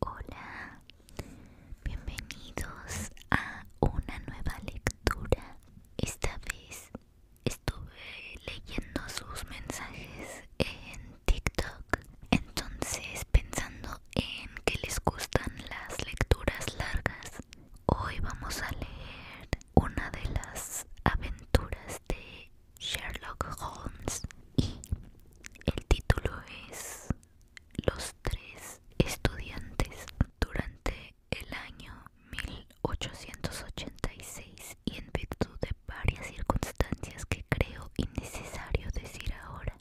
Hola, bienvenidos a una nueva lectura. Esta vez estuve leyendo sus mensajes en TikTok, entonces pensando en que les gustan las lecturas largas, hoy vamos a leer una de las aventuras de Sherlock Holmes y el título es los tres estudiantes durante el año 1886 y en virtud de varias circunstancias que creo innecesario decir ahora,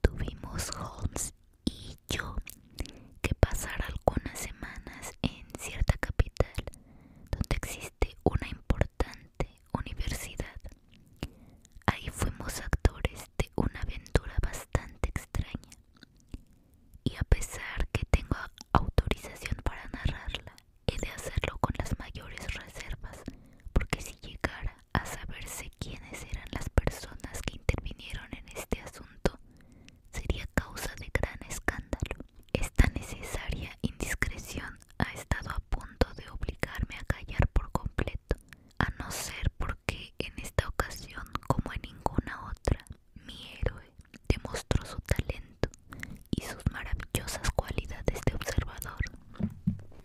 tuvimos Holmes y yo que pasar algunas semanas en cierta capital donde existe una importante universidad Ahí fuimos actores de una aventura bastante extraña. Y a pesar que tengo autorización para narrarla, he de hacerlo con las mayores reservas, porque si llegara a saberse quiénes eran las personas que intervinieron en este asunto, sería causa de gran escándalo. Esta necesaria indiscreción ha estado a punto de obligarme a callar por completo a no ser porque en esta ocasión, como en ninguna otra, mi héroe demostró su talento y sus maravillosas cualidades de observador.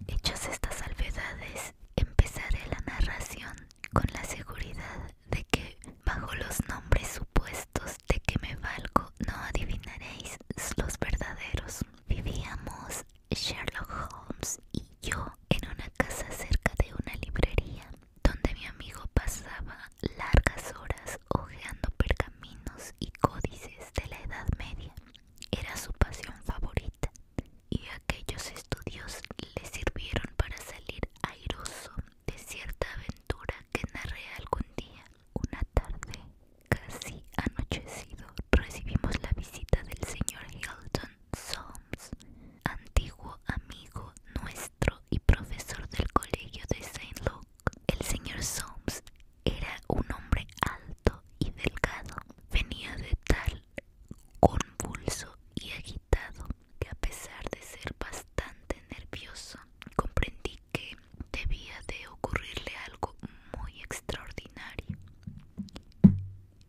Hechas estas salvedades, empezaré la narración con la seguridad de que, bajo los nombres supuestos de que me valgo, no adivinaréis los verdaderos. Vivíamos Sherlock Holmes y yo en una casa cerca de una librería donde mi amigo pasaba largas horas hojeando pergaminos y códices de la Edad Media. Era su pasión favorita y aquellos estudios le sirvieron para salir airoso de cierta aventura que narré algún día. Una tarde Casi anochecido recibimos la visita del señor Hilton Soames, antiguo amigo nuestro y profesor del colegio de St. Luke. El señor Soames era un hombre alto y delgado. Venía de tal convulso y agitado que a pesar de ser bastante nervioso, comprendí que debía de ocurrirle algo muy extraordinario.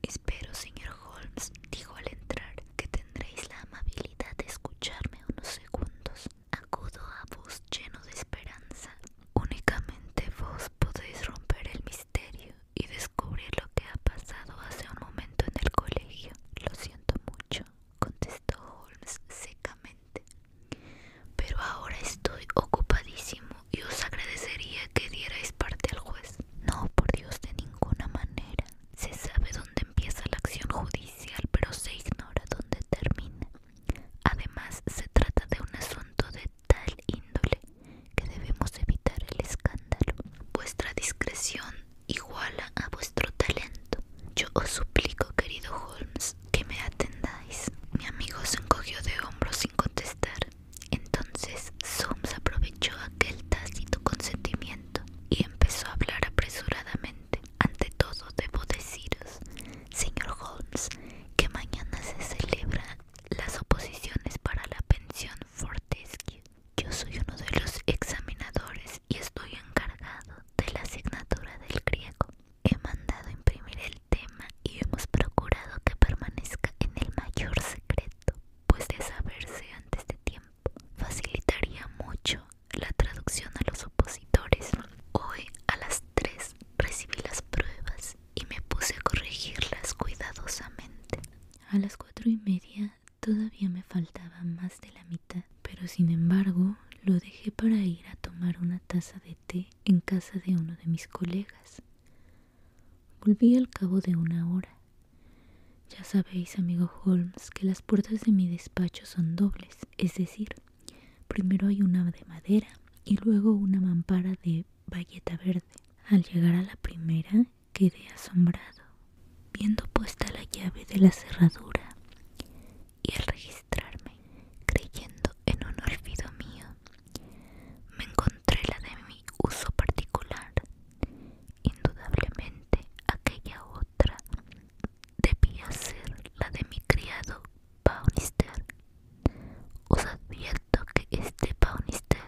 Espero, señor Holmes, dijo al entrar, que tendréis la amabilidad de escucharme unos segundos. Acudo a vos lleno de esperanza. Únicamente vos podéis romper el misterio y descubrir lo que ha pasado hace un momento en el colegio. Lo siento mucho, contestó Holmes secamente. Pero ahora estoy ocupadísimo y os agradecería que dierais parte al juez. No, por Dios, de ninguna manera. Se sabe dónde empieza la acción judicial, pero se ignora dónde termina. Además, se trata de un asunto de tal índole que debemos evitar el escándalo. Vuestra discreción iguala a vuestro talento. Yo os suplico, querido Holmes, que me atendáis. Mi amigo se encogió de hombros sin contestar. Entonces Soames aprovechó aquel tácito consentimiento y empezó a hablar apresuradamente. Ante todo debo deciros, señor Holmes, que mañana se celebran las oposiciones para la pensión Fortescue. Yo soy uno de los examinadores y estoy encargado de la asignatura del griego. He mandado imprimir el tema y hemos procurado que permanezca en el mayor secreto, pues de saberse antes de tiempo facilitaría mucho la traducción a los opositores. Hoy a las 3 recibí las pruebas y me puse a corregirlas cuidadosamente. A las cuatro y media todavía me faltaba más de la mitad, pero sin embargo lo dejé para ir a tomar una taza de té en casa de uno de mis colegas. Volví al cabo de una hora. Ya sabéis, amigo Holmes, que las puertas de mi despacho son dobles, es decir, primero hay una de madera y luego una mampara de bayeta verde. Al llegar a la primera, quedé asombrado, viendo puesta la llave de la cerradura y al registrarme, creyendo en un olvido mío, me encontré la de mi uso particular. Indudablemente aquella otra debía ser la de mi criado Baunister. Os advierto que este Baunister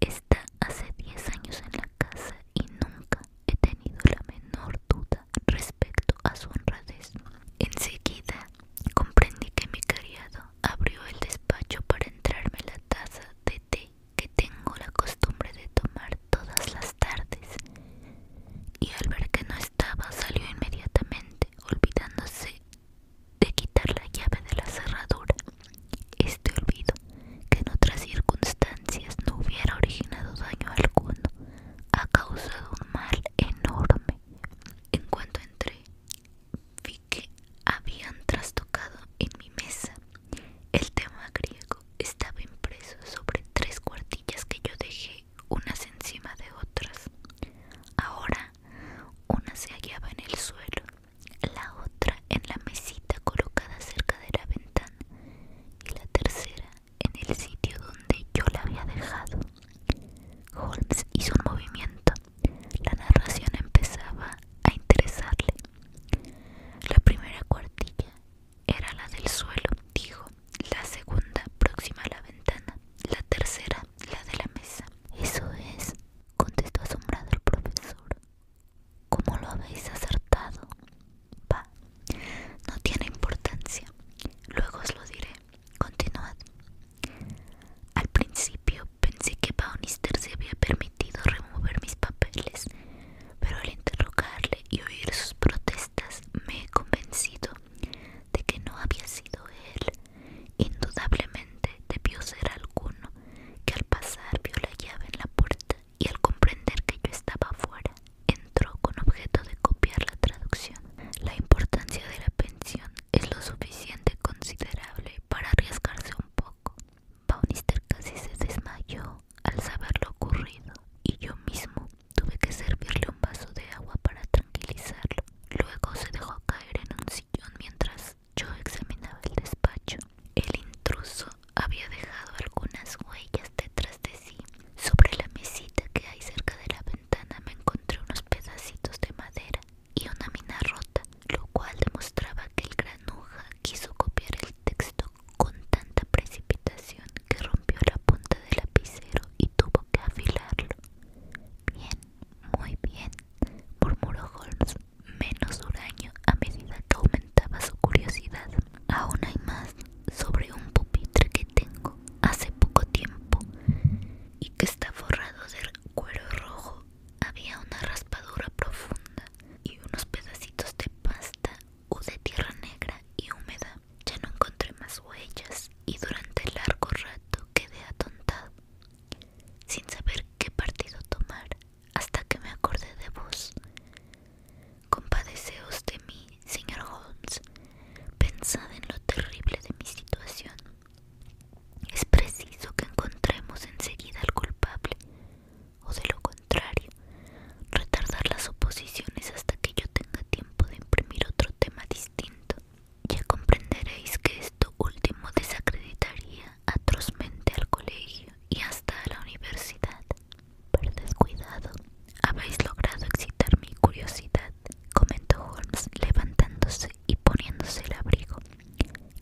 está hace 10 años en la casa y nunca he tenido la menor duda respecto a su honradez. Enseguida comprendí que mi criado abrió el despacho para entrarme la taza de té que tengo la costumbre de tomar todas las tardes, y al ver que no estaba salió inmediatamente, olvidándose de quitar la llave de la cerradura. Este olvido, que en otras circunstancias no hubiera originado daño alguno, ha causado un mal enorme. En cuanto entré, vi que habían trastocado en mi mesa. El tema griego estaba impreso sobre tres cuartillas que yo dejé unas encima de otras. Ahora una se hallaba en el suelo, la otra en la mesita colocada cerca de la ventana y la tercera en el sitio donde yo la había dejado. Holmes hizo un movimiento la narración empezaba a interesarle. La primera cuartilla era la del suelo, dijo, la segunda próxima a la ventana, la tercera la de la mesa. Eso es, contestó asombrado el profesor. ¿Cómo lo habéis acertado? no tiene importancia. Luego os lo diré. Continuad. Al principio Pensé que Baunister se había permitido remover mis papeles, pero al interrogarle y oír sus protestas me he convencido de que no había sido él. Indudablemente debió ser alguno que al pasar vio la llave en la puerta y al comprender que yo estaba afuera entró con objeto de copiar la traducción. La importancia de la pensión es lo suficiente considerable para arriesgarse un poco. Baunister casi se desmayó al saber lo ocurrido y yo mismo tuve que servirle un vaso de agua para tranquilizarlo. Luego se dejó caer en un sillón mientras yo examinaba el despacho. El intruso había dejado algunas huellas detrás de sí. Sobre la mesita que hay cerca de la ventana me encontré unos pedacitos de madera y una mina rota, lo cual demostraba que el granuja quiso copiar el texto con tanta precipitación que rompió la punta del lapicero y tuvo que afilarlo. Bien, muy bien, murmuró Holmes, menos huraño a medida que aumentaba su curiosidad. Aún hay más sobre un pupitre que tengo hace poco tiempo y que está forrado de cuero rojo había una raspadura profunda y unos pedacitos de pasta o de tierra negra y húmeda. Ya no encontré más huellas y durante el largo rato quedé atontado, sin saber qué partido tomar, hasta que me acordé de vos. Compadeceos de mí, señor Holmes. Pensad en lo terrible de mi situación es preciso que encontremos enseguida al culpable, o de lo contrario, retardar las suposiciones hasta que yo tenga tiempo de imprimir otro tema distinto. Ya comprenderéis que esto último desacreditaría atrozmente al colegio y hasta a la universidad. Pero cuidado. Habéis logrado excitar mi curiosidad, comentó Holmes levantándose y poniéndose el abrigo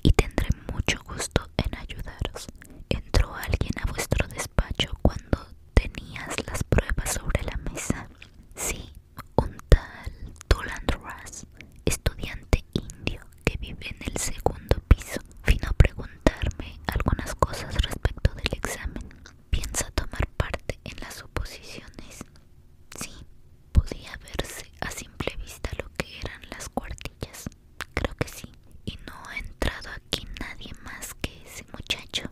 y tendré mucho gusto en ayudaros. Entró alguien a vuestro despacho cuando tenías las pruebas sobre la mesa. Sí, un tal Tulandras, estudiante indio que vive en el segundo piso, vino a preguntarme algunas cosas respecto del examen. ¿Piensa tomar parte en las oposiciones? Sí, Podía verse a simple vista lo que eran las cuartillas, creo que sí. Y no ha entrado aquí nadie más que ese muchacho.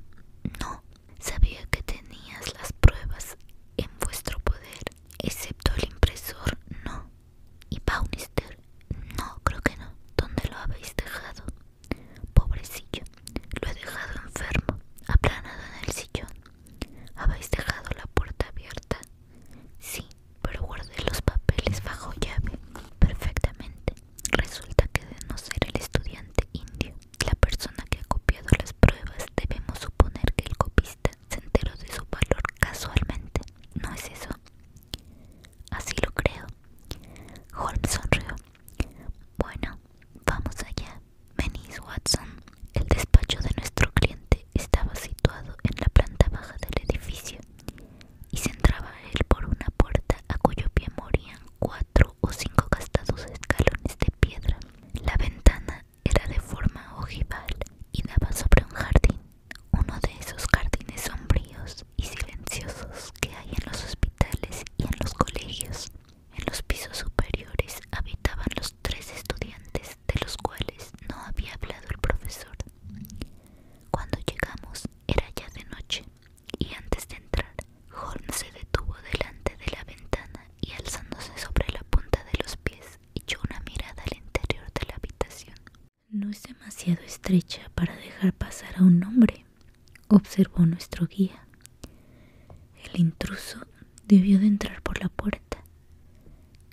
No, sabía que tenías las pruebas en vuestro poder, excepto el impresor, no. Y Baunister, no, creo que no. ¿Dónde lo habéis dejado? Pobrecillo, lo he dejado enfermo, aplanado en el sillón. ¿Habéis dejado la puerta abierta? Sí, pero guardé los papeles bajo llave. Perfectamente. Resulta que de no ser el estudiante indio, la persona que ha copiado las pruebas, debemos suponer que el copista se enteró de su valor casualmente. ¿No es eso? Así lo creo. Holmes sonrió. Bueno, vamos allá. Menis Watson, el despacho de nuestro cliente estaba situado en la planta baja del edificio y se entraba él por una puerta a cuyo pie morían cuatro o cinco gastados escalones de piedra. La ventana era de forma ojival y daba sobre un jardín, uno de esos jardines sombríos y silenciosos que hay en los hospitales y en los colegios. En los pisos superiores habitaban los tres estudiantes de los cuales no había hablado el profesor. Cuando llegamos era ya de noche y antes de entrar, Holmes se detuvo delante de la ventana y alzándose sobre la punta de los pies echó una mirada al interior de la habitación. No es demasiado estrecha para dejar pasar a un hombre, observó nuestro guía. El intruso debió de entrar por la puerta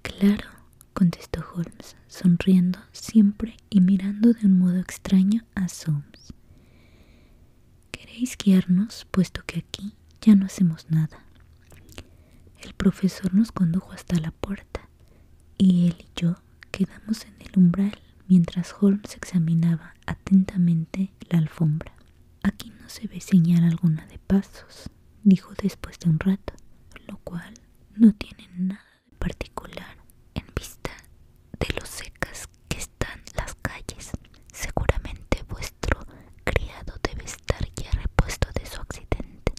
Claro, contestó Holmes, sonriendo siempre y mirando de un modo extraño a Soames. ¿Queréis guiarnos, puesto que aquí ya no hacemos nada? El profesor nos condujo hasta la puerta, y él y yo quedamos en el umbral mientras Holmes examinaba atentamente la alfombra. Aquí no se ve señal alguna de pasos dijo después de un rato, lo cual no tiene nada de particular en vista de lo secas que están las calles. Seguramente vuestro criado debe estar ya repuesto de su accidente.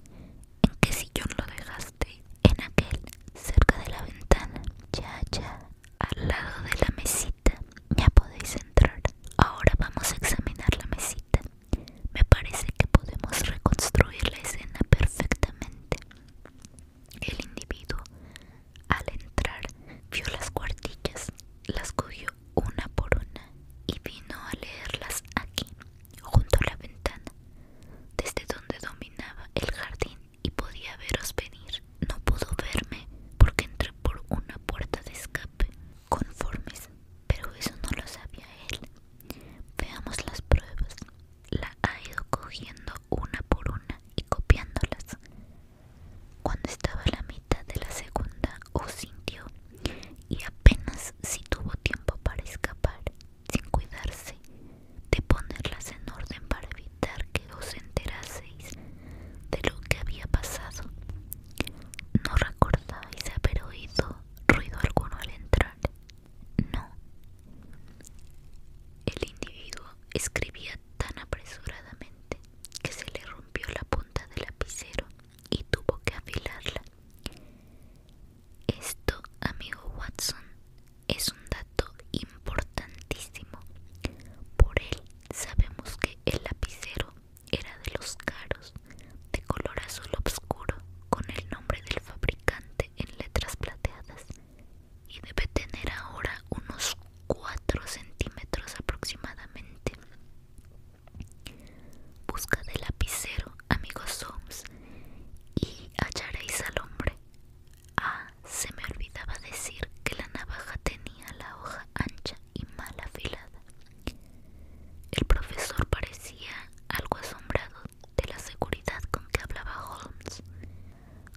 ¿En qué sillón lo dejaste? En aquel, cerca de la ventana. Ya, ya, al lado de la mesita. Ya podéis entrar. Ahora vamos a examinar la mesita. Me parece que podemos reconstruir la escena perfectamente. El individuo, al entrar, vio las cuartillas, las cogió una por una y vino a leerlas aquí, junto a la ventana, desde donde dominaba el jardín y podía veros venir. No pudo verme porque entré por una puerta de escape conformes, pero eso no lo sabía él. Veamos las pruebas. La ha ido cogiendo una por una y copiándolas. Cuando estaba a la mitad de la segunda, os sintió y apenas si tuvo tiempo para escapar, sin cuidarse de ponerlas en orden para evitar que os enteraseis de lo que había pasado. ¿No recordáis haber oído ruido alguno al entrar? No. El individuo escribía tan apresuradamente que se le rompió la punta del lapicero y tuvo que afilarla. Esto, amigo Watson, es un dato importantísimo. Por él sabemos que el lapicero era de los caros, de color azul oscuro, con el nombre del fabricante en letras plateadas, y debe tener ahora unos 4 centímetros aproximadamente. Busca de lapicero, amigos So's, y hallaréis al hombre. Ah, se me olvidaba decir que la navaja tenía la hoja ancha y mal afilada. El profesor parecía algo asombrado de la seguridad con que hablaba Holmes.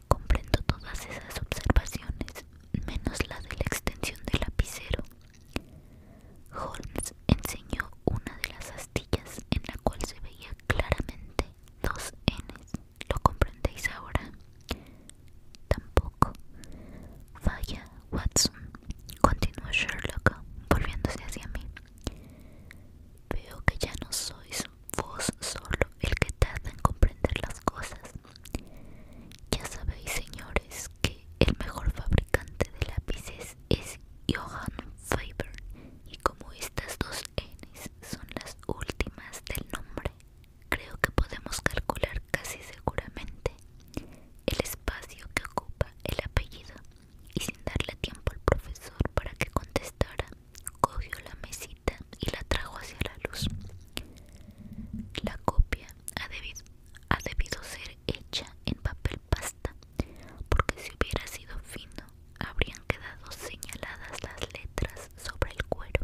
Comprendo todas esas observaciones, menos la de la extensión del lapicero. Holmes enseñó una de las astillas en la cual se veía claramente dos n. ¿Lo comprendéis ahora? Tampoco. Falla Watson, Continuó Sherlock, volviéndose hacia mí. Veo que ya no sois vos solo el que tarda en comprender las cosas. Ya sabéis, señores, que el mejor fabricante de lápices es Johan Faber, y como estas dos N's son las últimas del nombre, creo que podemos calcular casi seguramente el espacio que ocupa el apellido, y sin darle tiempo al profesor para que contestara, cogió la mesita y la trajo hacia la luz. La copia ha debido, ha debido ser hecha en papel pasta, porque si hubiera sido fino, habrían quedado señaladas las letras sobre el cuero.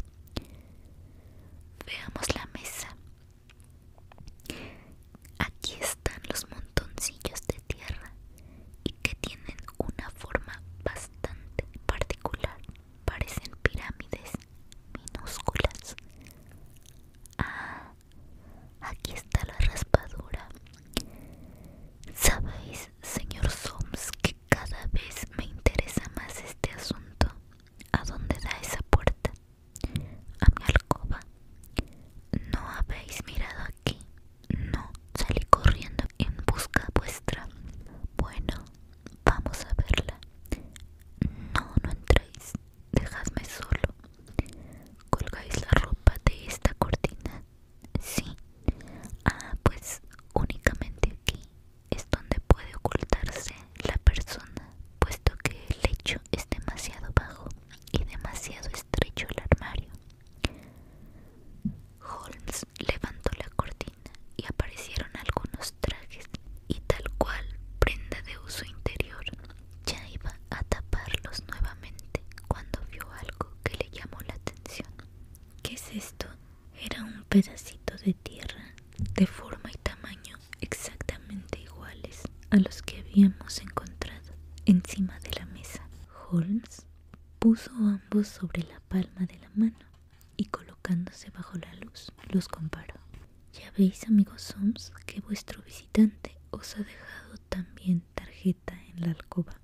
Veamos la mesa, Aquí están los montoncillos de tierra y que tienen una forma bastante particular. Parecen pirámides minúsculas. Ah, aquí está la raspadura. ¿Sabéis, señor Soames, que cada vez me interesa más este asunto? ¿A dónde da esa puerta? a mi alcoba. ¿No habéis mirado aquí? No, salí corriendo en busca vuestra. Bueno, vamos a verla. No, no entréis, dejadme solo. ¿Colgáis la ropa de esta cortina? Sí. Ah, pues únicamente aquí es donde puede ocultarse la persona, puesto que el lecho es demasiado bajo y demasiado estrecho el armario. Holmes levantó la cortina y aparecieron algunos trajes y tal cual prenda de uso interior. Ya iba a taparlos nuevamente cuando vio algo que le llamó la atención. ¿Qué es esto? Era un pedacito de tierra de forma y tamaño exactamente iguales a los que habíamos encontrado encima de la mesa. Holmes puso ambos sobre la palma de la mano y colocándose bajo la luz los comparó. Ya veis, amigos Holmes que vuestro visitante os ha dejado también tarjeta en la alcoba.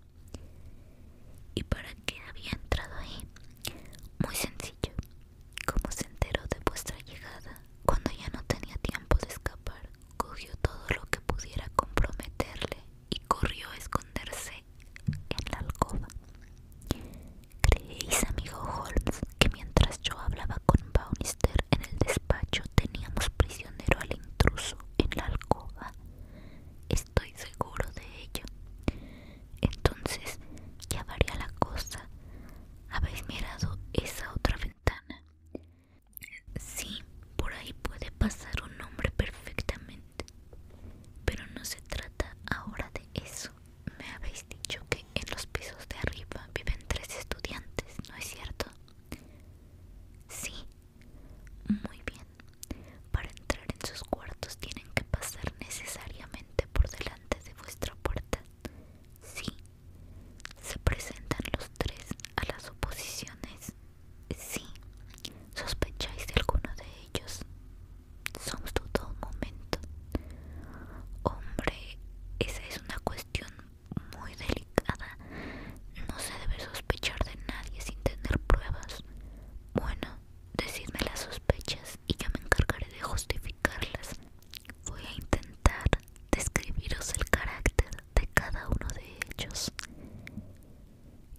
¿Y para qué había entrado ahí? Muy sencillo. Como se enteró de vuestra llegada, cuando ya no tenía tiempo de escapar, cogió todo lo que pudiera comprometerle y corrió a esconderse en la alcoba. Creéis, amigo Holmes, que mientras yo hablaba con Baunister en el despacho teníamos prisionero al intruso en la alcoba. Estoy seguro de ello. Entonces ya varía la cosa. ¿Habéis mirado esa otra ventana? Sí, por ahí puede pasar un hombre perfectamente. Pero no se trata ahora de eso. Me habéis dicho que en los pisos de arriba viven tres estudiantes, ¿no es cierto? Sí. Muy bien. Para entrar en sus cuartos tienen que pasar necesariamente por delante de vuestra puerta. Sí. ¿Se presentan los tres a las oposiciones? Sí. ¿Sospecháis de alguno de ellos? somos todo todo momento. Hombre, esa es una cuestión muy delicada. No se debe sospechar de nadie sin tener pruebas. Bueno, decidme las sospechas y yo me encargaré de justificarlas. Voy a intentar describiros el carácter de cada uno de ellos.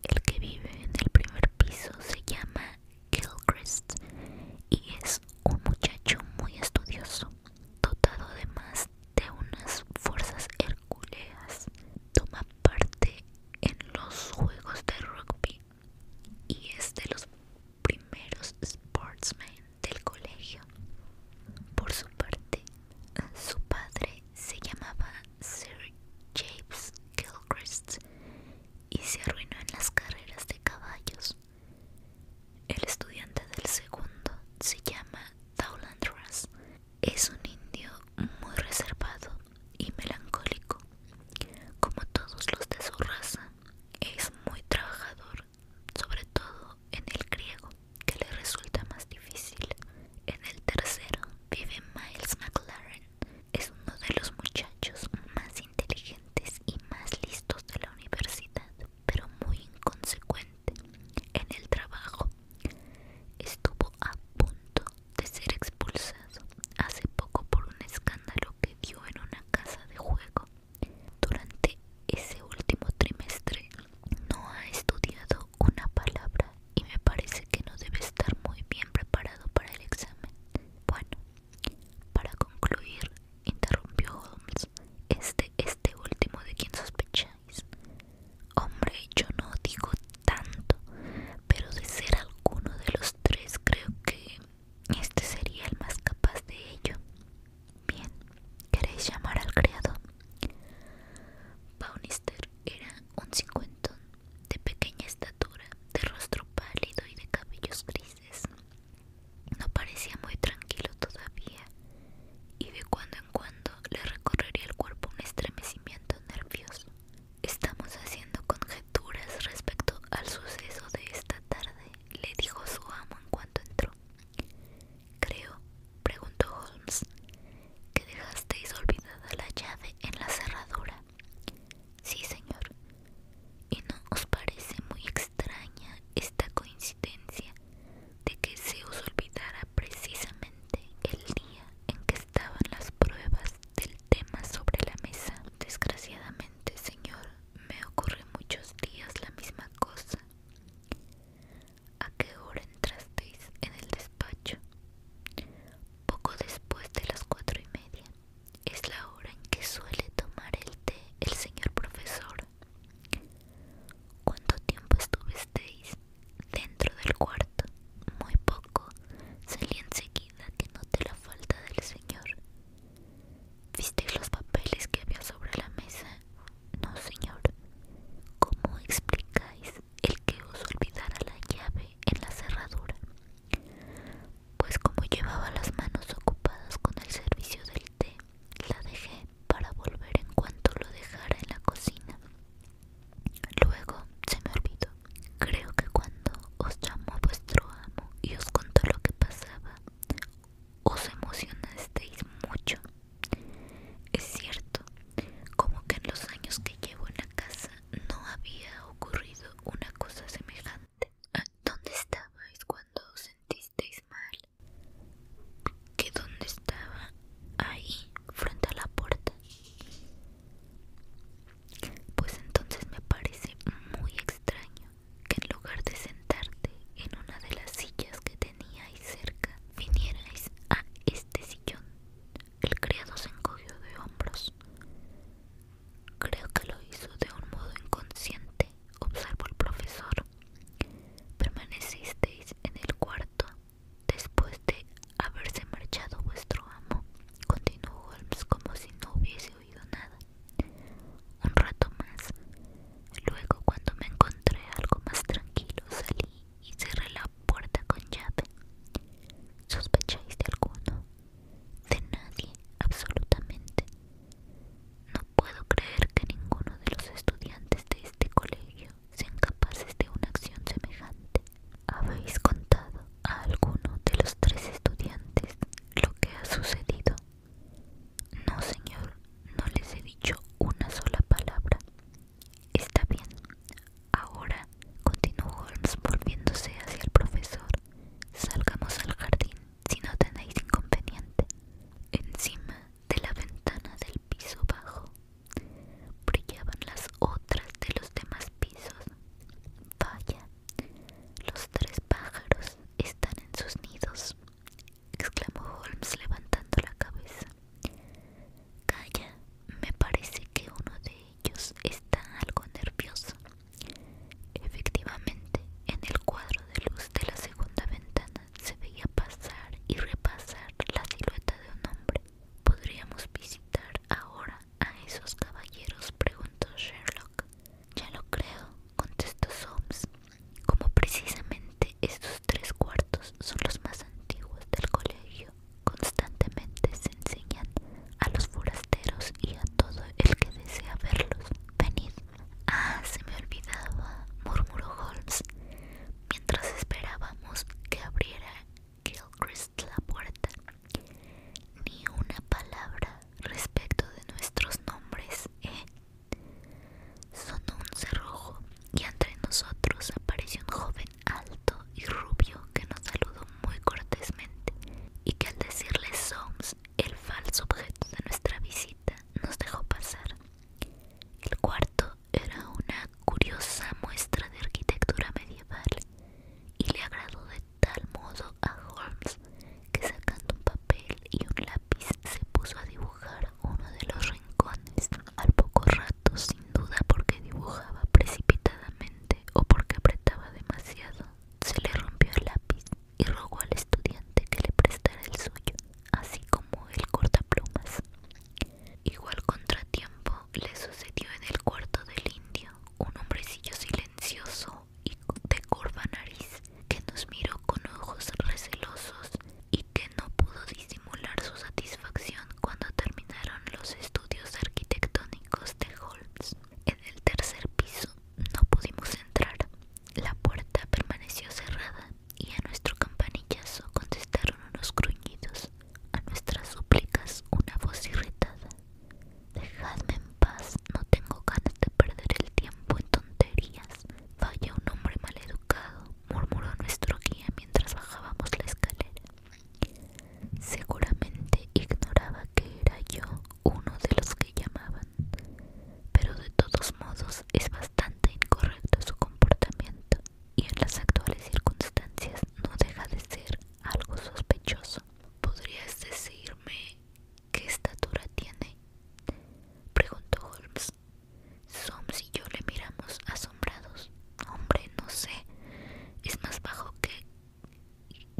El que vive en el primer piso se llama Gilchrist y es un muchacho muy estudioso, dotado además de unas fuerzas herculeas. Toma parte en los juegos de rugby y es de los primeros sportsmen del colegio. Por su parte, su padre se llamaba Sir James Gilchrist y se arruinó en las carreras de caballos. El estudiante del segundo se llama Dowland Russ. Es un indio muy reservado y melancólico. Como todos los de su raza, es muy trabajador sobre todo en el griego, que le resulta más difícil. En el tercero vive Miles McLaren. Es uno de los muchachos más inteligentes y más listos de la universidad, pero muy inconsecuente en el trabajo. Estuvo a punto de ser expulsado hace poco por un escándalo que dio en una casa de juego durante ese último trimestre no ha estudiado una palabra y me parece que no debe estar muy bien preparado para el examen. Bueno, para concluir, interrumpió Holmes, este, este último de quien sospecháis. Hombre, yo no digo tanto, pero de ser alguno de los tres creo que este sería el más capaz de ello. Bien, ¿queréis llamar al criado? Baunister era un cincuentón, de pequeña estatura, de rostro pálido y de cabellos grises. No parecía muy tranquilo todavía, y de cuando en cuando le recorrería el cuerpo un estremecimiento nervioso. Estamos haciendo conjeturas respecto al suceso de esta tarde, le dijo su amo en cuanto entró. Creo, preguntó Holmes, que dejasteis olvidada la llave en la cerradura. Sí, señor. ¿Y no os parece muy extraña esta coincidencia de que se os olvidara precisamente el día en que estaban las pruebas del tema sobre la mesa? Desgraciadamente, señor, me ocurre muchos días la misma cosa. ¿A qué hora entrasteis en el despacho? Poco después de las cuatro y media. Es la hora en que suele tomar el té el señor profesor. ¿Cuánto tiempo estuvisteis dentro del cuarto? Muy poco. Salí enseguida que noté la falta del señor. ¿Visteis los papeles que había sobre la mesa? No, señor. ¿Cómo explicáis el que os olvidara la llave en la cerradura? Pues como llevaba las manos ocupadas con el servicio del té, la dejé para volver en cuanto lo dejara en la cocina. Luego se me olvidó. Creo que cuando os llamó vuestro amo y os contó lo que pasaba, os emocionasteis mucho. Es cierto, como que en los años que llevo en la casa no había ocurrido una cosa semejante. Ah, ¿Dónde estabais cuando os sentisteis mal? ¿Que dónde estaba? Ahí, frente a la puerta. Pues entonces me parece muy extraño que en lugar de sentarte en una de las sillas que teníais cerca, vinierais a este sillón. El criado se encogió de hombros. Creo que lo hizo de un modo inconsciente, observó el profesor. Permanecisteis en el cuarto después de haberse marchado vuestro amo, continuó Holmes como si no hubiese nada. Un rato más. Luego, cuando me encontré algo más tranquilo, salí y cerré la puerta con llave. ¿Sospecháis de alguno? De nadie, absolutamente. No puedo creer que ninguno de los estudiantes de este colegio sean capaces de una acción semejante. ¿Habéis contado a alguno de los tres estudiantes lo que ha sucedido? No, señor, no les he dicho una sola palabra. Está bien. Ahora, continuó Holmes volviéndose hacia el profesor, salgamos al jardín si no tenéis inconveniente. Encima de la ventana del piso bajo brillaban las otras de los demás pisos. Vaya, los tres pájaros están en sus nidos exclamó Holmes levantando la cabeza. Calla, me parece que uno de ellos está algo nervioso. Efectivamente, en el cuadro de luz de la segunda ventana se veía pasar y repasar la silueta de un hombre. ¿Podríamos visitar ahora a esos caballeros? preguntó Sherlock. Ya lo creo, contestó Soames. Como precisamente estos tres cuartos son los más antiguos del colegio, constantemente se enseñan a los forasteros y a todo el que desea verlos. Venid. Ah, se me olvidaba, murmuró Holmes, mientras esperábamos que abriera Gilchrist la puerta. Ni una palabra respecto de nuestros nombres, ¿eh? Sonó un cerrojo y entre nosotros apareció un joven alto y rubio que nos saludó muy cortésmente y que al decirle sons el falso objeto de nuestra visita, nos dejó pasar. El cuarto era una curiosa muestra de arquitectura medieval y le agradó de tal modo a Holmes que sacando un papel y un lápiz se puso a dibujar uno de los rincones. Al poco rato, sin duda porque dibujaba precipitadamente o porque apretaba demasiado, se le rompió el lápiz y rogó al estudiante que le prestara el suyo, así como el cortaplumas. Igual contratiempo le sucedió en el cuarto del indio, un hombrecillo silencioso, y de curva nariz, que nos miró con ojos recelosos y que no pudo disimular su satisfacción cuando terminaron los estudios arquitectónicos de Holmes. En el tercer piso no pudimos entrar, la puerta permaneció cerrada y a nuestro campanillazo contestaron unos gruñidos, a nuestras súplicas una voz irritada. Dejadme en paz, no tengo ganas de perder el tiempo en tonterías. Vaya un hombre maleducado, murmuró nuestro guía mientras bajábamos la escalera. Seguramente ignoraba que era yo uno de los que llamaban, pero de todos modos es bastante incorrecto su comportamiento y en las actuales circunstancias no deja de ser algo sospechoso. ¿Podrías decirme ¿Qué estatura tiene? preguntó Holmes. Soames y yo le miramos asombrados. Hombre, no sé. Es más bajo que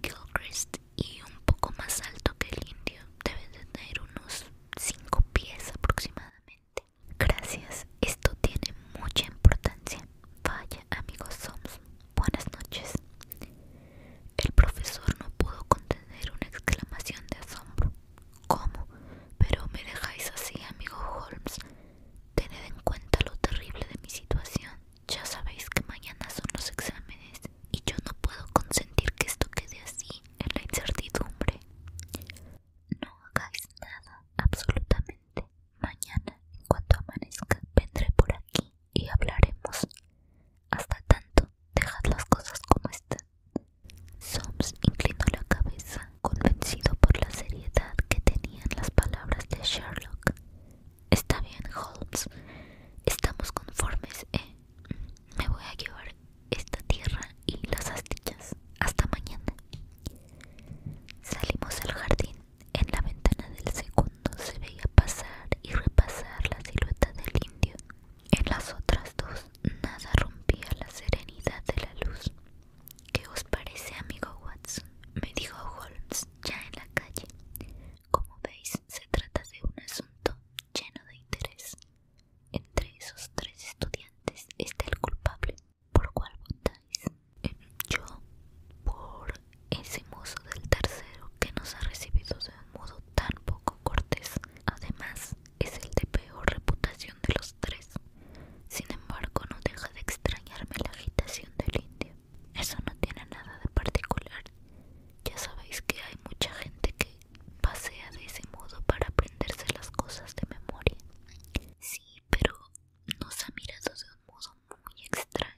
Gilchrist y un poco más alto que el indio. Debe tener unos cinco pies aproximadamente. Gracias, esto tiene mucha importancia. Vaya, amigo Soames. Buenas noches. El profesor no pudo contener una exclamación de asombro. ¿Cómo? Pero me dejáis así, amigo Holmes. Tened en cuenta lo terrible de mi situación. Ya sabéis que mañana son los exámenes y yo no puedo consentir que esto quede así en la incertidumbre. No hagáis nada, absolutamente. Mañana, en cuanto amanezca, vendré por aquí y hablaremos. Hasta tanto, dejad las cosas como están. Soames inclinó la cabeza, convencido por la seriedad que tenían las palabras de Sherlock. Está bien, Holmes. Estamos conformes, ¿eh? Me voy a llevar esta tierra y las astillas. Hasta mañana. Salimos al jardín. En la ventana del segundo se veía pasar y repasar la silueta del indio en las otras dos nada rompía la serenidad de la luz. ¿Qué os parece, amigo Watson? me dijo Holmes ya en la calle. Como veis, se trata de un asunto lleno de interés. Entre esos tres estudiantes está el culpable. ¿Por cuál votáis? Eh, yo, por ese mozo del tercero que nos ha recibido de un modo tan poco cortés Además, es el de peor reputación de los tres. Sin embargo, no deja de extrañarme la agitación del indio. Eso no tiene nada de particular. Ya sabéis que hay mucha gente que pasea de ese modo para aprenderse las cosas de memoria. Sí, pero nos ha mirado de un modo muy extraño.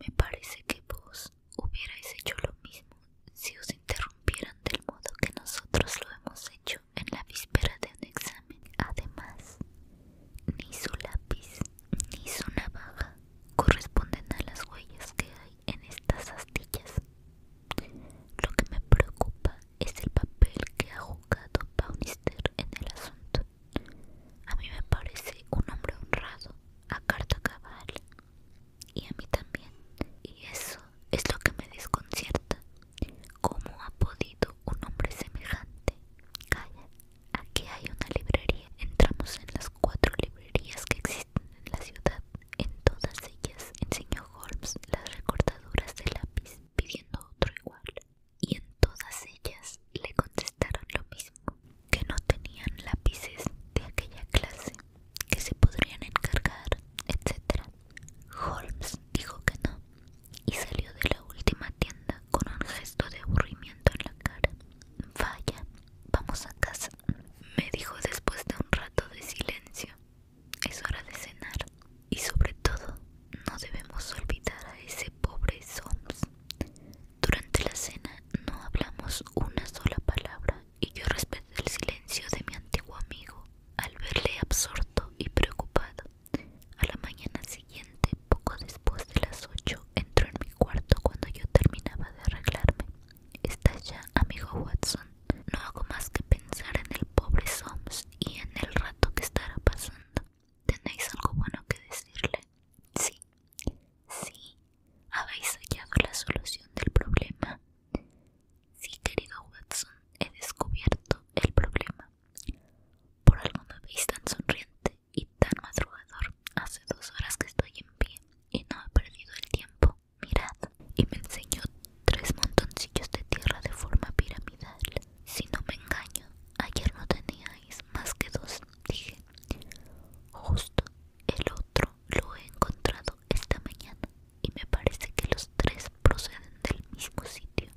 Me parece que vos hubierais hecho lo mismo si os interrumpieran del modo que nosotros lo hemos hecho en la víspera de un examen. Además, ni su lápiz ni su navaja corresponden a las huellas que hay en estas astillas. Lo que me preocupa es el papel que ha jugado Baunister en el asunto. A mí me parece un hombre honrado, a carta cabal y a mí también. Y eso es lo que me desconcierta. ¿Cómo ha podido un hombre semejante? Calla, aquí hay una librería. Entramos en las cuatro librerías que existen en la ciudad. En todas ellas enseñó Holmes las recortaduras de lápiz, pidiendo otro igual. Y en todas ellas le contestaron lo mismo, que no tenían lápices de aquella clase que se podrían encargar, etc. Holmes dijo que no y salió de la última tienda con un gesto de aburrimiento en la cara. Vaya, vamos a casa, me dijo después de un rato de silencio. Es hora de cenar y sobre todo no debemos olvidar a ese pobre Soames. Durante la cena no hablamos una sola palabra y yo respeté el silencio de mi antiguo amigo al verle absorto y preocupado. A la mañana siguiente, poco después de las ocho, entró en mi cuarto cuando yo terminaba de arreglarme. está ya, amigo Watson? No hago más que pensar en el pobre Soms y en el rato que estará pasando. ¿Tenéis algo bueno que decirle? Sí, sí, ¿Habéis hallado la solución del problema? Sí, querido Watson, he descubierto el problema. Por algo me veis tan sonriente y tan madrugador. Hace dos horas que estoy en pie y no he perdido el tiempo. Mirad. Y me enseñó tres montoncillos de tierra de forma piramidal. Si no me engaño, ayer no teníais más que dos, dije. Justo el otro lo he encontrado esta mañana y me parece que los tres proceden del mismo sitio.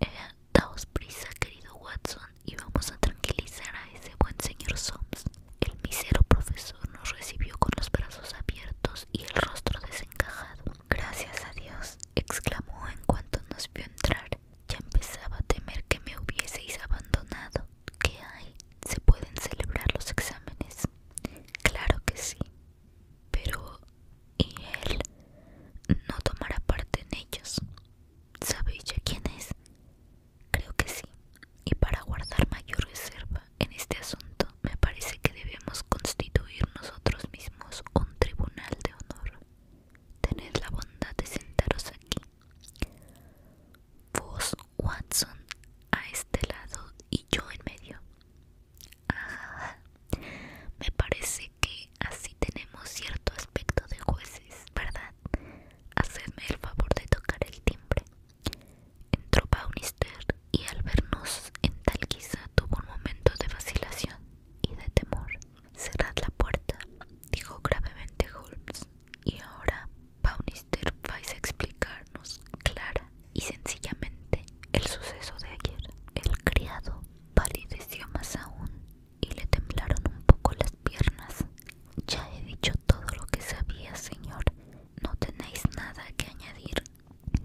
Eh, daos prisa, querido Watson, y vamos a tranquilizar a ese buen señor Soms El misero profesor nos recibió con los brazos abiertos y el rostro desencajado. Gracias a Dios, exclamó en cuanto nos vio entrar. Ya empezaba a temer que me hubieseis abandonado. ¿Qué hay? ¿Se pueden celebrar los exámenes? Claro que sí, pero ¿y él no tomará parte en ellos? ¿Sabéis ya quién es? Creo que sí, y para guardar mayor reserva en este asunto me parece que debemos constituir nosotros mismos un tribunal de honor. Tened la bondad de sentaros aquí. Vos, Watson, a este lado y yo en medio. Ah, me parece que así tenemos cierto aspecto de jueces, ¿verdad? Hacedme el favor de tocar el timbre. Entró Baunister y al vernos en tal quizá tuvo un momento de vacilación y de temor. Cerrad la puerta, dijo gravemente Holmes. Y ahora Paunister, vais a explicarnos clara y sencillamente el suceso de ayer. El criado palideció más aún y le temblaron un poco las piernas. Ya he dicho todo lo que sabía, señor. No tenéis nada que añadir.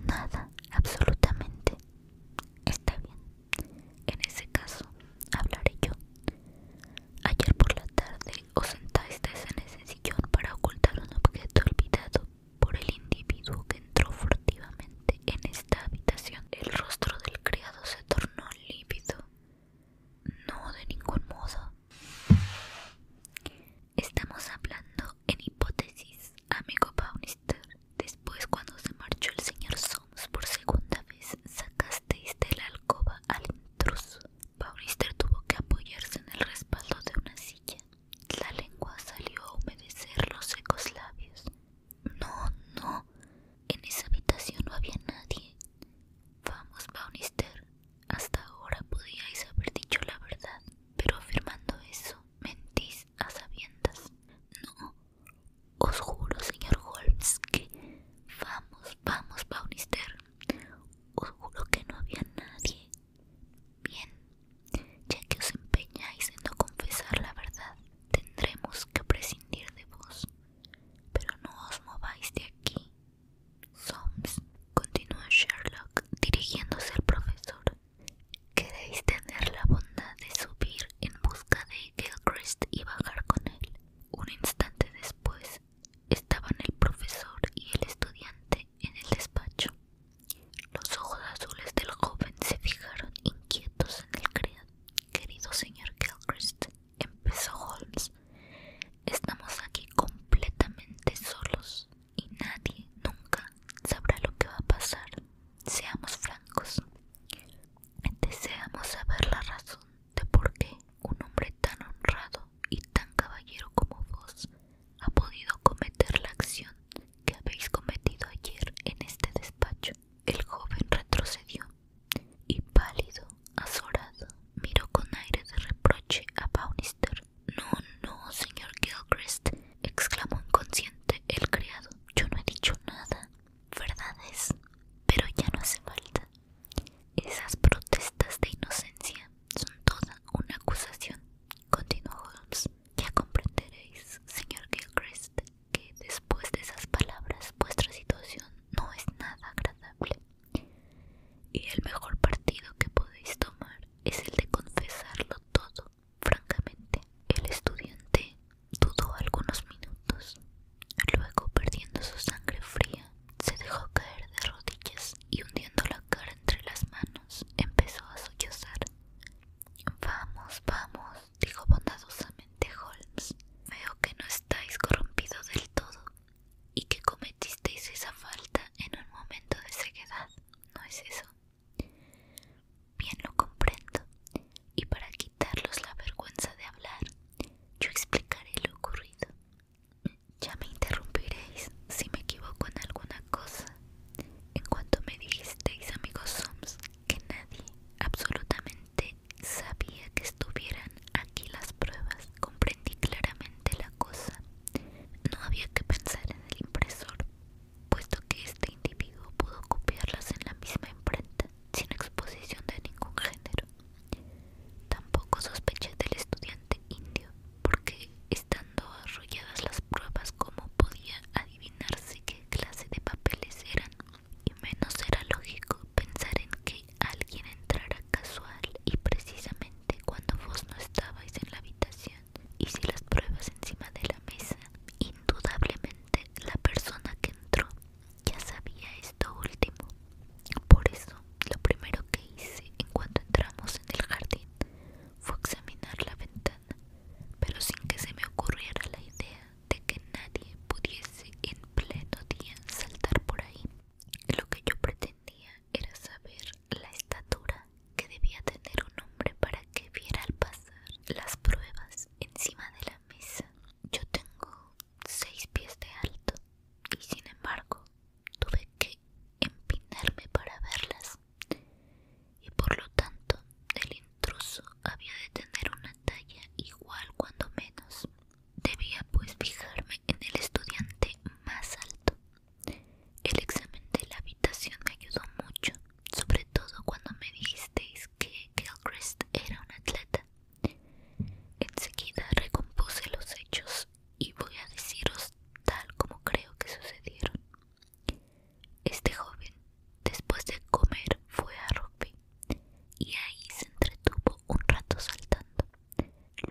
Nada, absolutamente. Está bien. En ese caso, hablaré yo. Ayer por la tarde o sentaste en ese sillón para ocultar un objeto olvidado por el individuo que entró furtivamente en esta habitación. El rostro del criado se tornó lívido. No, de ningún modo. Estamos hablando en hipótesis, amigo Baunister. Después, cuando se marchó el señor Sons por segunda vez, sacasteis de la alcoba al intruso. Baunister tuvo que apoyarse en el respaldo de una silla. La lengua salió a humedecer los secos labios. No, no. En esa habitación no había nadie. Vamos, Baunister. Hasta ahora podíais haber dicho la verdad, pero afirmando eso, mentís a sabiendas. No. Os juro, señor Holmes, que... Vamos, vamos, Baunister. Os juro que no había nadie. Bien, ya que os empeñáis en no confesar la verdad, tendremos que prescindir de vos. Pero no os mováis de aquí. Soames, continuó Sherlock dirigiéndose al profesor. ¿Queréis tener la bondad de subir en busca de Gilchrist y bajar con él? Un instante después, Estaban el profesor y el estudiante en el despacho. Los ojos azules del joven se fijaron inquietos en el querido señor Gilchrist, empezó Holmes. Estamos aquí completamente solos y nadie nunca sabrá lo que va a pasar. Seamos francos. Deseamos saber la razón de por qué un hombre tan honrado y tan caballero como vos ha podido cometer la acción que habéis cometido ayer en este despacho. El joven retrocedió y pálido, azorado, miró con aire de reproche a Baunister. No, no, señor Gilchrist, exclamó inconsciente el criado. Yo no he dicho nada. Verdad es, pero ya no hace falta. Esas protestas de inocencia son toda una acusación, continuó Holmes. Ya comprenderéis, señor Gilchrist, que después de esas palabras vuestra situación no es nada agradable. Y el mejor partido que podéis tomar es el de confesarlo todo, francamente. El estudiante dudó algunos minutos, luego perdiendo su sangre fría, se dejó caer de rodillas y hundiendo la cara entre las manos empezó a sollozar. Vamos, vamos, dijo bondadosamente Holmes. Veo que no estáis corrompido del todo y que cometisteis esa falta en un momento de ceguedad, ¿no es eso? Bien lo comprendo. Y para quitarlos la vergüenza de hablar, yo explicaré lo ocurrido. Ya me interrumpiréis si me equivoco en alguna cosa. En cuanto me dijisteis, amigos Soms, que nadie, absolutamente, sabía que estuvieran aquí las pruebas, comprendí claramente la cosa. No había que pensar en el impresor, puesto que este individuo pudo copiarlas en la misma imprenta, sin exposición de ningún género. Tampoco sospeché del estudiante indio, porque estando arrolladas las pruebas, Cómo podía adivinarse qué clase de papeles eran, y menos era lógico pensar en que alguien entrara casual y precisamente cuando vos no estabais en la habitación, y si las pruebas encima de la mesa. Indudablemente la persona que entró ya sabía esto último. Por eso lo primero que hice en cuanto entramos en el jardín fue examinar la ventana, pero sin que se me ocurriera la idea de que nadie pudiese en pleno día saltar por ahí. Lo que yo pretendía era saber la estatura que debía tener un hombre para que viera al pasar las pruebas encima de la mesa. Yo tengo seis pies de alto y sin embargo tuve que empinarme para verlas y por lo tanto el intruso había de tener una talla igual cuando menos. Debía pues fijarme en el estudiante más alto. El examen de la habitación me ayudó mucho, sobre todo cuando me dijisteis que Gilchrist era un atleta. Enseguida recompuse los hechos y voy a deciros tal como creo que sucedieron. Este joven, después de comer, fue a rock y ahí se entretuvo un rato saltando.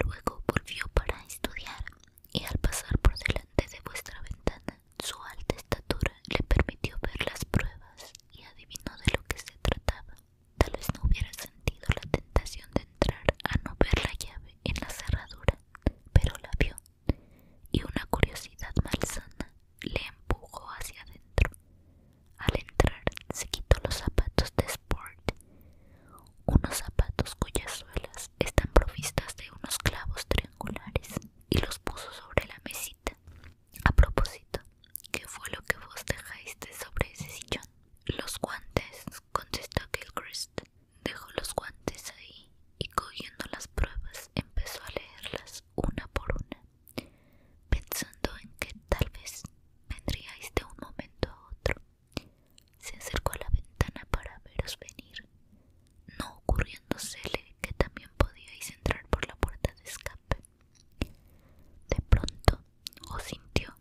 Luego volvió para estudiar y al pasar por delante de vuestra ventana, su alta estatura le permitió ver las pruebas y adivinó de lo que se trataba. Tal vez no hubiera sentido la tentación de entrar a no ver la llave en la cerradura, pero la vio, y una curiosidad malsana le empujó hacia adentro. Al entrar se quitó los zapatos de sport, unos zapatos cuyas suelas están provistas de unos clavos triangulares, y los puso sobre la mesita. A propósito, ¿qué fue lo que vos dejaste sobre ese sillón? Los guantes, contestó Gilchrist dejó los guantes ahí y cogiendo las pruebas empezó a leerlas una por una, pensando en que tal vez vendríais de este un momento a otro. Se acercó a la ventana para veros venir, no ocurriéndosele que también podíais entrar por la puerta de escape. De pronto os sintió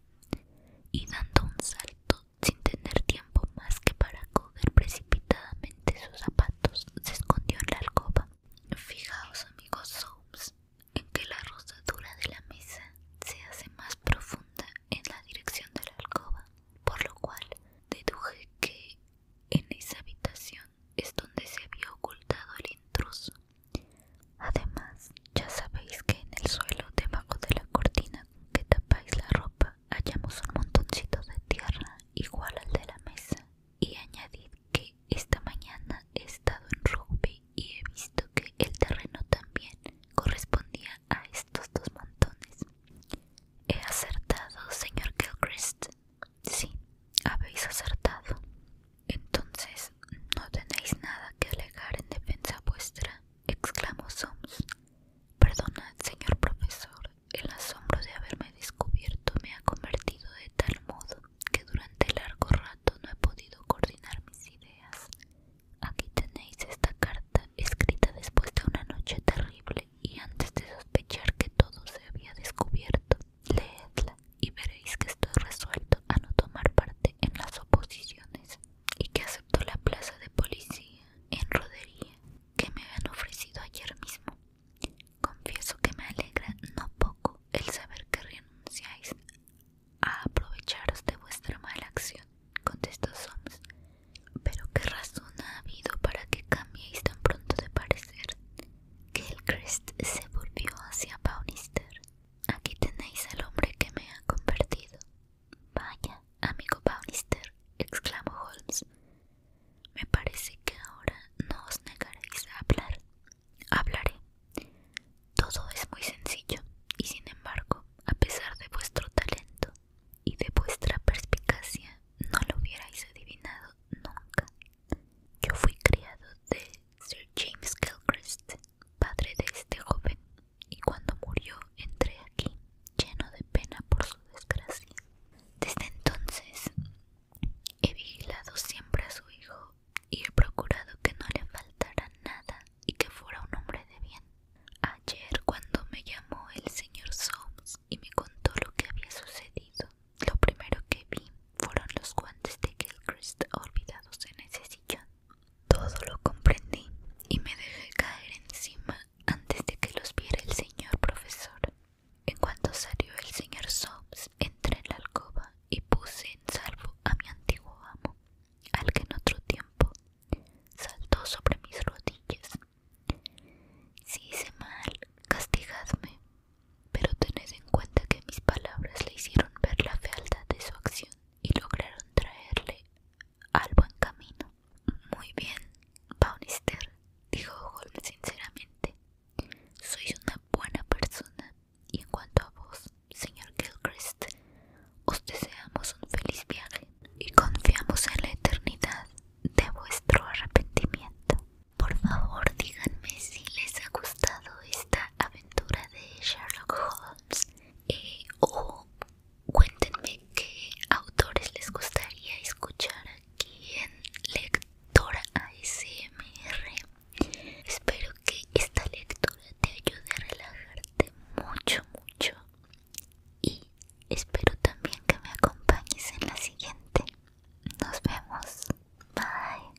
y dando un salto sin tener tiempo más que para coger precipitadamente sus zapatos, se escondió en la alcoba. Fijaos, amigos Soames, en que la rosadura de la mesa se hace más profunda en la dirección de la alcoba, por lo cual deduje que en esa habitación es donde se había ocultado el intruso. Además, ya sabéis que en el suelo debajo de la cortina que tapáis la ropa, hallamos un montoncito de tierra igual al de la mesa y añadid que esta mañana he estado en rugby y he visto que el terreno también correspondía a estos dos montones. He acertado, señor Gilchrist. Sí, habéis acertado. Entonces, no tenéis nada que alegar en defensa vuestra exclamó soms. Perdonad, señor profesor, el asombro de haberme descubierto me ha convertido de tal modo que durante largo rato no he podido coordinar mis ideas. Aquí tenéis esta carta, escrita después de una noche terrible y antes de sospechar que todo se había descubierto. Leedla y veréis que estoy resuelto a no tomar parte en las oposiciones y que aceptó la plaza de policía en Rodería que me habían ofrecido ayer mismo. Confieso que me alegra no poco el saber que renunciáis a aprovecharos de vuestra mala acción, contestó Soms. Pero qué razón ha habido para que cambiéis tan pronto de parecer. Que el crest se volvió hacia Baunister. Aquí tenéis al hombre que me ha convertido, Vaya, amigo Bannister, exclamó Holmes. Me parece que ahora no os negaréis a hablar. Hablaré. Todo es muy sencillo, y sin embargo, a pesar de vuestro talento y de vuestra perspicacia, no lo hubierais adivinado nunca. Yo fui criado de Sir James Gilchrist, padre de este joven, y cuando murió entré aquí, lleno de pena por su desgracia. Desde entonces he vigilado siempre a su hijo y he procurado que no le faltara nada y que fuera un hombre de bien. Ayer cuando me llamó el señor Soames y me contó lo que había sucedido, lo primero que vi fueron los guantes de Gilchrist olvidados en ese sillón. Todo lo comprendí y me dejé caer encima antes de que los viera el señor profesor. En cuanto salió el señor Sops, entré en la alcoba y puse en salvo a mi antiguo amo, al que en otro tiempo saltó sobre mis rodillas. Si hice mal, castigadme, pero tened en cuenta que mis palabras le hicieron ver la fealdad de su acción y lograron traerle al buen camino. Muy bien, Baunister, dijo Holmes sinceramente. Sois una buena persona y en cuanto a vos, señor Gilchrist, os deseamos un feliz viaje y confiamos en la eternidad de vuestro arrepentimiento. Por favor, díganme si les ha gustado esta aventura de Sherlock Holmes eh, o Cuéntenme qué autores les gustaría escuchar aquí en Lectora ASMR. Espero que esta lectura te ayude a relajarte mucho, mucho. Y espero también que me acompañes en la siguiente. Nos vemos. Bye.